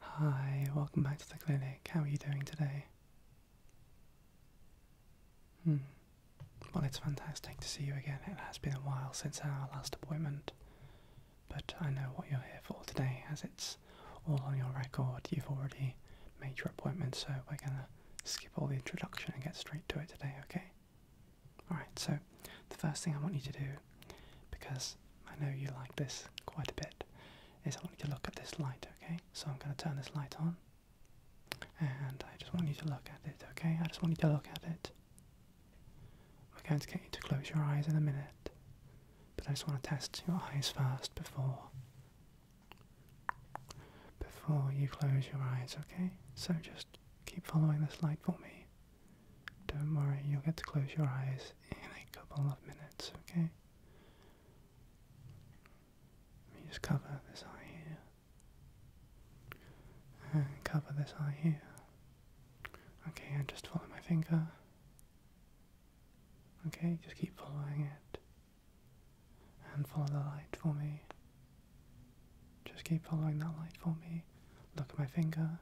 Hi, welcome back to the clinic. How are you doing today? Hmm. Well, it's fantastic to see you again. It has been a while since our last appointment, but I know what you're here for today as it's all on your record. You've already made your appointment, so we're gonna skip all the introduction and get straight to it today, okay? Alright, so the first thing I want you to do because I know you like this quite a bit, is I want you to look at this light, okay? So I'm going to turn this light on, and I just want you to look at it, okay? I just want you to look at it. We're going to get you to close your eyes in a minute, but I just want to test your eyes first before before you close your eyes, okay? So just keep following this light for me. Don't worry, you'll get to close your eyes in a couple of minutes, okay? Let me just cover this eye here. And cover this eye here. Okay, and just follow my finger. Okay, just keep following it. And follow the light for me. Just keep following that light for me. Look at my finger.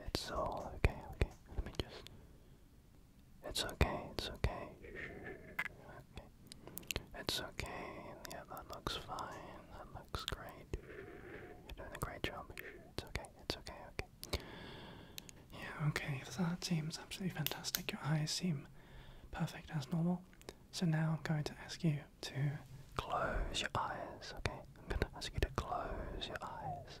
It's all okay, okay. Let me just. It's okay, it's okay. Okay. It's okay. Yeah, that looks fine. That looks great. You're doing a great job. It's okay, it's okay, okay. Yeah, okay, that seems absolutely fantastic. Your eyes seem perfect as normal. So now I'm going to ask you to close your eyes, okay? I'm going to ask you to close your eyes.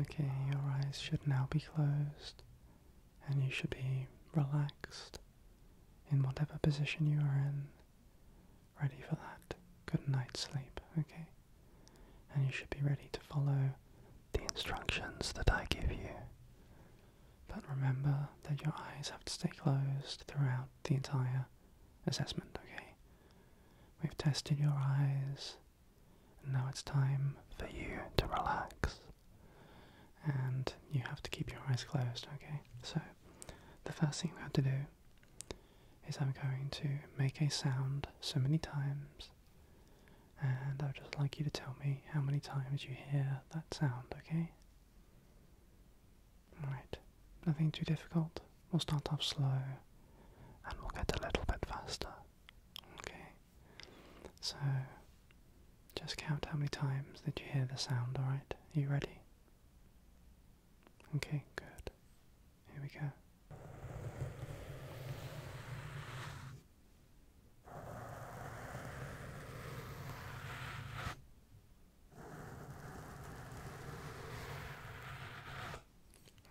Okay, your eyes should now be closed and you should be relaxed in whatever position you are in, ready for that good night's sleep, okay? And you should be ready to follow the instructions that I give you. But remember that your eyes have to stay closed throughout the entire assessment, okay? We've tested your eyes now it's time for you to relax. And you have to keep your eyes closed, okay? So, the first thing we have to do is I'm going to make a sound so many times, and I would just like you to tell me how many times you hear that sound, okay? Alright, nothing too difficult. We'll start off slow, and we'll get a little bit faster, okay? So just count how many times that you hear the sound, alright? Are you ready? Okay, good. Here we go.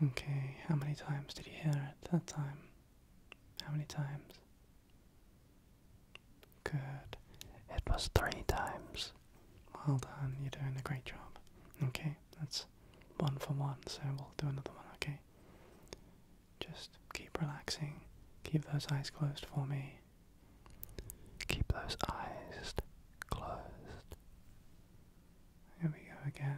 Okay, how many times did you hear it that time? How many times? Good. It was three times. Well done, you're doing a great job. Okay, that's one for one, so we'll do another one, okay? Just keep relaxing. Keep those eyes closed for me. Keep those eyes closed. Here we go again.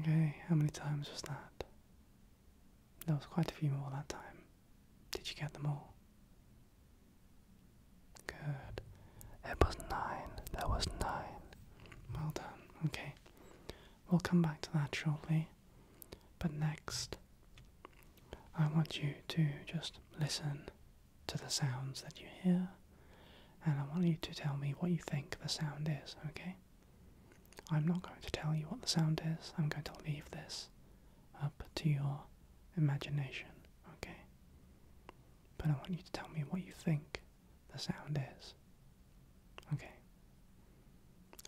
Okay, how many times was that? There was quite a few more that time. Did you get them all? Good. It was nine. There was nine. Well done. Okay. We'll come back to that shortly. But next, I want you to just listen to the sounds that you hear, and I want you to tell me what you think the sound is, okay? I'm not going to tell you what the sound is, I'm going to leave this up to your imagination, okay? But I want you to tell me what you think the sound is. Okay.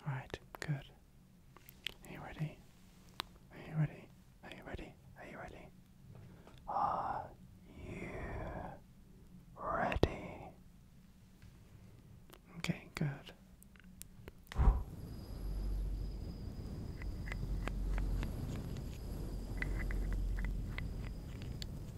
Alright, good. Are you ready? Are you ready? Are you ready? Are you ready? Are you ready? Okay, good.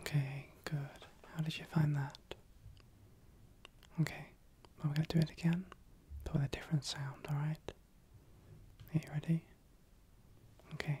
Okay, good. How did you find that? Okay, well, we're going to do it again, but with a different sound, alright? Are you ready? Okay.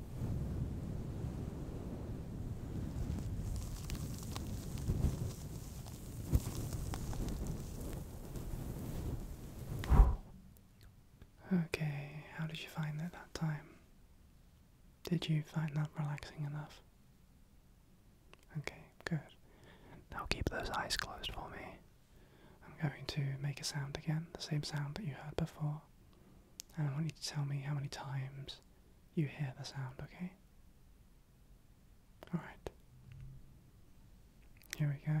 Okay, how did you find that time? Did you find that relaxing enough? Okay, good. Now keep those eyes closed for me. I'm going to make a sound again, the same sound that you heard before. And I want you to tell me how many times you hear the sound, okay? Alright. Here we go.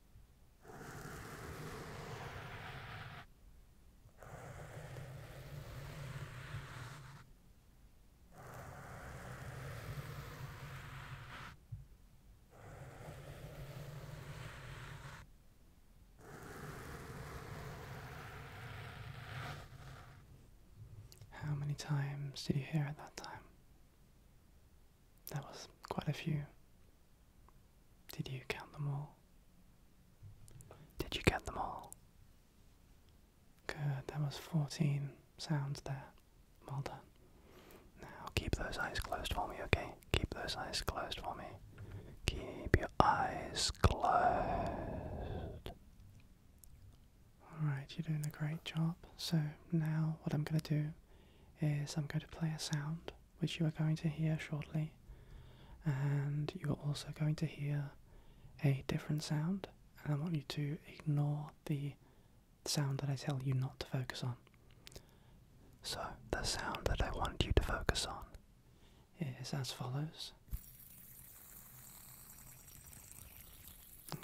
How many times did you hear at that time? That was quite a few. Did you count them all? Did you count them all? Good, there was 14 sounds there. Well done. Now keep those eyes closed for me, okay? Keep those eyes closed for me. Keep your eyes closed. Alright, you're doing a great job. So now what I'm going to do is I'm going to play a sound which you are going to hear shortly, and you are also going to hear a different sound. And I want you to ignore the sound that I tell you not to focus on. So, the sound that I want you to focus on is as follows.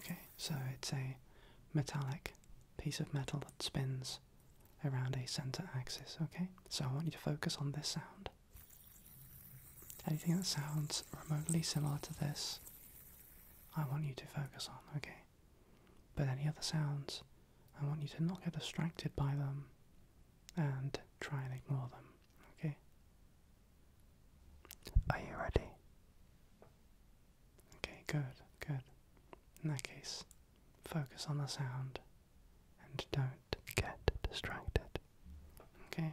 Okay, so it's a metallic piece of metal that spins around a center axis, okay? So I want you to focus on this sound. Anything that sounds remotely similar to this, I want you to focus on, okay? But any other sounds, I want you to not get distracted by them and try and ignore them, okay? Are you ready? Okay, good, good. In that case, focus on the sound and don't get distracted. Okay?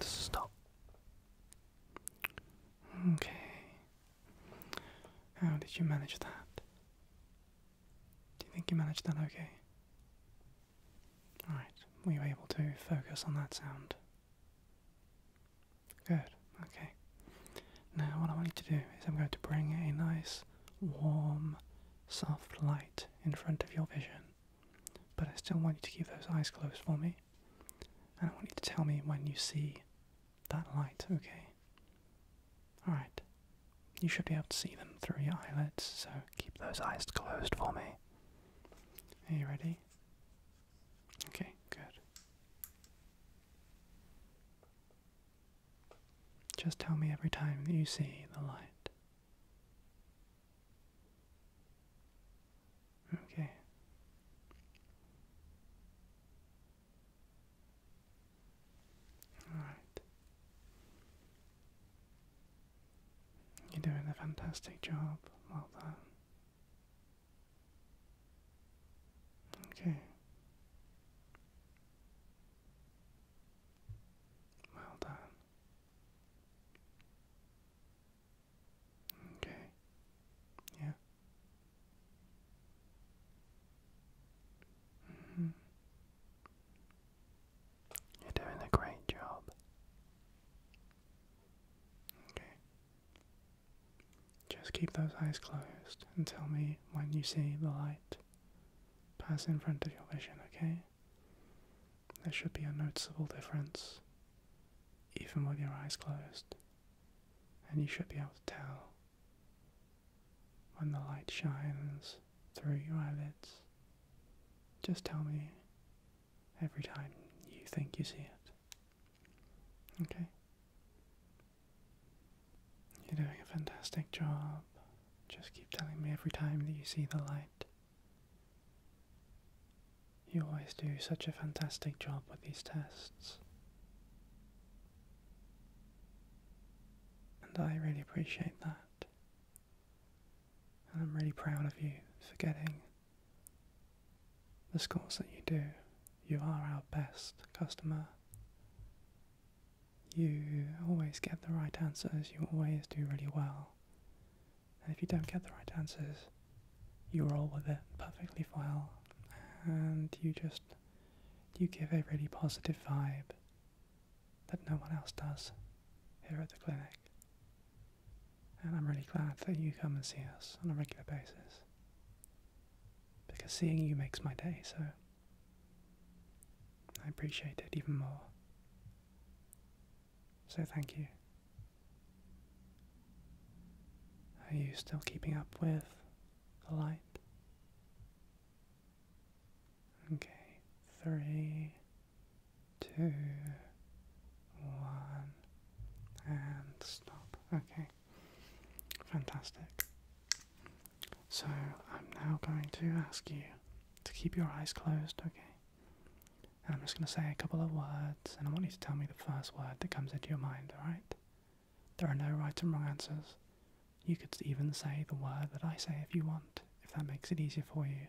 And stop. Okay. How did you manage that? Do you think you managed that okay? Alright, were you able to focus on that sound? Good, okay. Now, what I want you to do is I'm going to bring a nice, warm, soft light in front of your vision. But I still want you to keep those eyes closed for me. And I want you to tell me when you see that light, okay? Alright. You should be able to see them through your eyelids, so keep those eyes closed for me. Are you ready? Okay, good. Just tell me every time that you see the light. Okay. All right. You're doing a fantastic job. Well done. Okay. Well done. Okay. Yeah. Mm-hmm. You're doing a great job. Okay. Just keep those eyes closed and tell me when you see the light pass in front of your vision, okay? There should be a noticeable difference, even with your eyes closed, and you should be able to tell when the light shines through your eyelids. Just tell me every time you think you see it. Okay? You're doing a fantastic job. Just keep telling me every time that you see the light. You always do such a fantastic job with these tests. And I really appreciate that. And I'm really proud of you for getting the scores that you do. You are our best customer. You always get the right answers, you always do really well. And if you don't get the right answers, you roll with it perfectly well, and you just you give a really positive vibe that no one else does here at the clinic. And I'm really glad that you come and see us on a regular basis. Because seeing you makes my day, so I appreciate it even more. So thank you. Are you still keeping up with the light? Okay, three, two, one, and stop. Okay, fantastic. So I'm now going to ask you to keep your eyes closed, okay? And I'm just going to say a couple of words, and I want you to tell me the first word that comes into your mind, alright? There are no right and wrong answers. You could even say the word that I say if you want, if that makes it easier for you.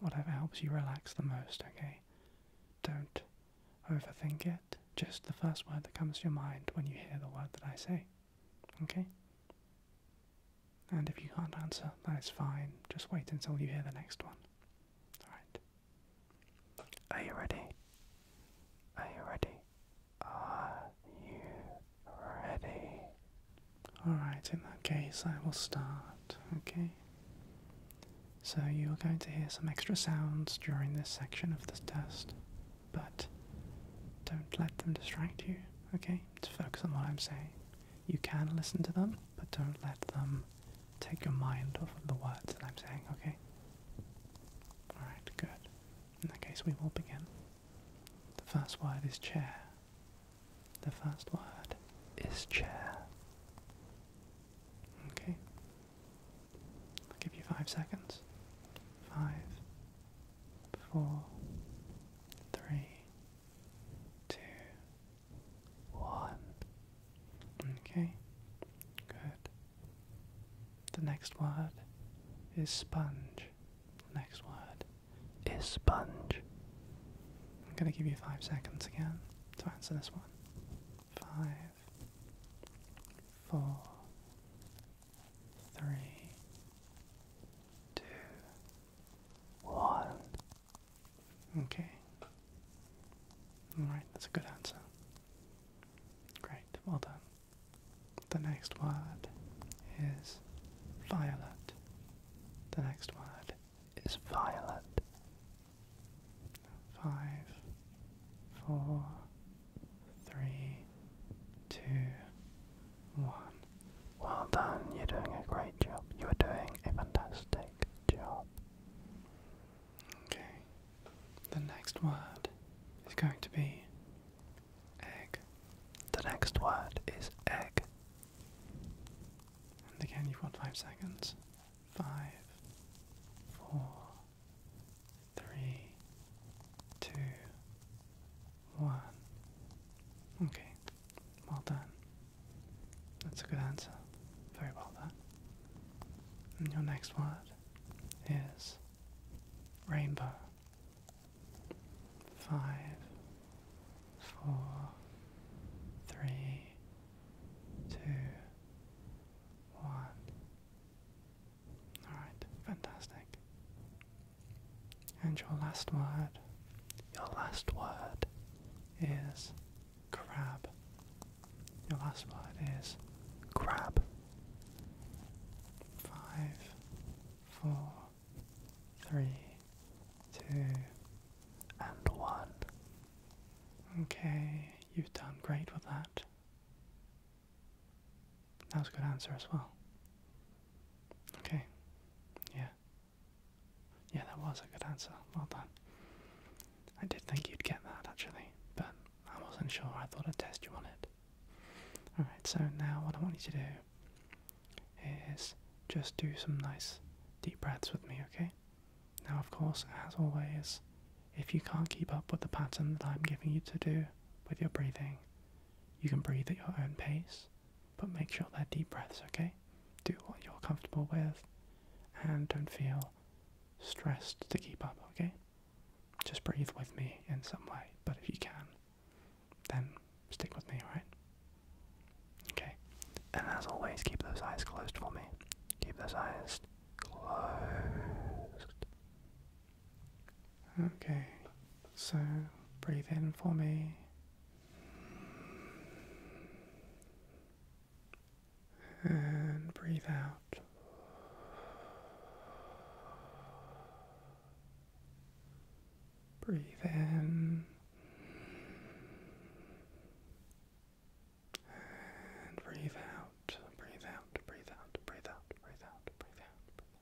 Whatever helps you relax the most, okay? Don't overthink it. Just the first word that comes to your mind when you hear the word that I say. Okay? And if you can't answer, that is fine. Just wait until you hear the next one. Alright. Are you ready? Are you ready? Are you ready? Alright, in that case, I will start, okay? So you're going to hear some extra sounds during this section of this test, but don't let them distract you, okay? Just focus on what I'm saying you can listen to them, but don't let them take your mind off of the words that I'm saying, okay? Alright, good. In that case, we will begin. The first word is chair. The first word is chair. Okay? I'll give you five seconds. Five, four, three, two, one. Okay, good. The next word is sponge. The next word is sponge. I'm going to give you five seconds again to answer this one. Five, four, three, two, one. Okay. Alright, that's a good answer. Great, well done. The next word is violet. The next word is violet. Five, four, three, two, one. Well done, you're doing a great job. You are doing a fantastic job. Okay. The next word is going to be egg. The next word is egg. And again, you've got five seconds. Five, four, three, two, one. Okay, well done. That's a good answer. Very well done. your next word is rainbow. Five, four, three, two, one. Alright, fantastic. And your last word, your last word is crab. Your last word is crab. Five, four, three, two, and one. Okay, you've done great with that. That was a good answer as well. Okay. Yeah. Yeah, that was a good answer. Well done. I did think you'd get that actually, but I wasn't sure. I thought I'd test you on it. Alright, so now what I want you to do is just do some nice deep breaths with me, okay? Now, of course, as always, if you can't keep up with the pattern that I'm giving you to do with your breathing, you can breathe at your own pace. But make sure they're deep breaths, okay? Do what you're comfortable with and don't feel stressed to keep up, okay? Just breathe with me in some way, but if you can, then stick with me, right? Okay, and as always, keep those eyes closed for me. Keep those eyes closed. Okay, so breathe in for me. And breathe out. Breathe in. And breathe out, breathe out, breathe out, breathe out, breathe out, breathe out, breathe out.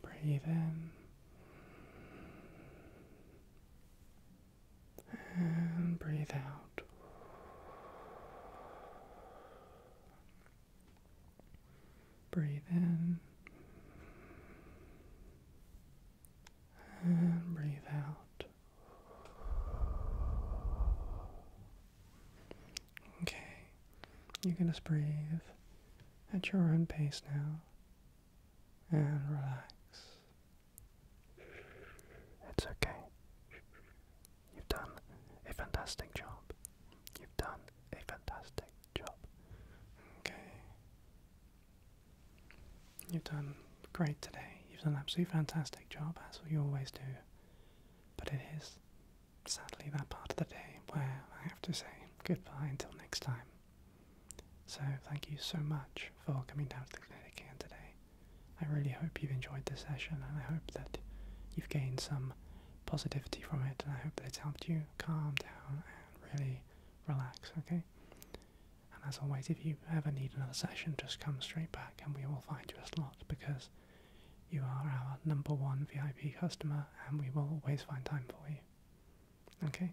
Breathe in and breathe out. Breathe in and breathe out. Okay, you can just breathe at your own pace now and relax. It's okay. You've done a fantastic job. You've done a fantastic job. Okay. You've done great today. You've done an absolutely fantastic job, as you always do. But it is sadly that part of the day where I have to say goodbye until next time. So, thank you so much for coming down to the clinic here today. I really hope you've enjoyed the session and I hope that you've gained some positivity from it and I hope that it's helped you calm down and really relax, okay? And as always, if you ever need another session, just come straight back and we will find you a slot because you are our number one VIP customer and we will always find time for you. Okay?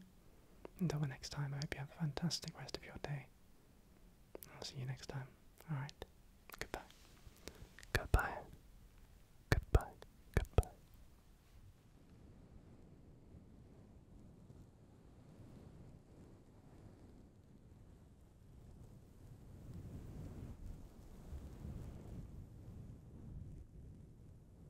Until the next time, I hope you have a fantastic rest of your day. I'll see you next time. Alright. Goodbye. Goodbye. Goodbye. Goodbye.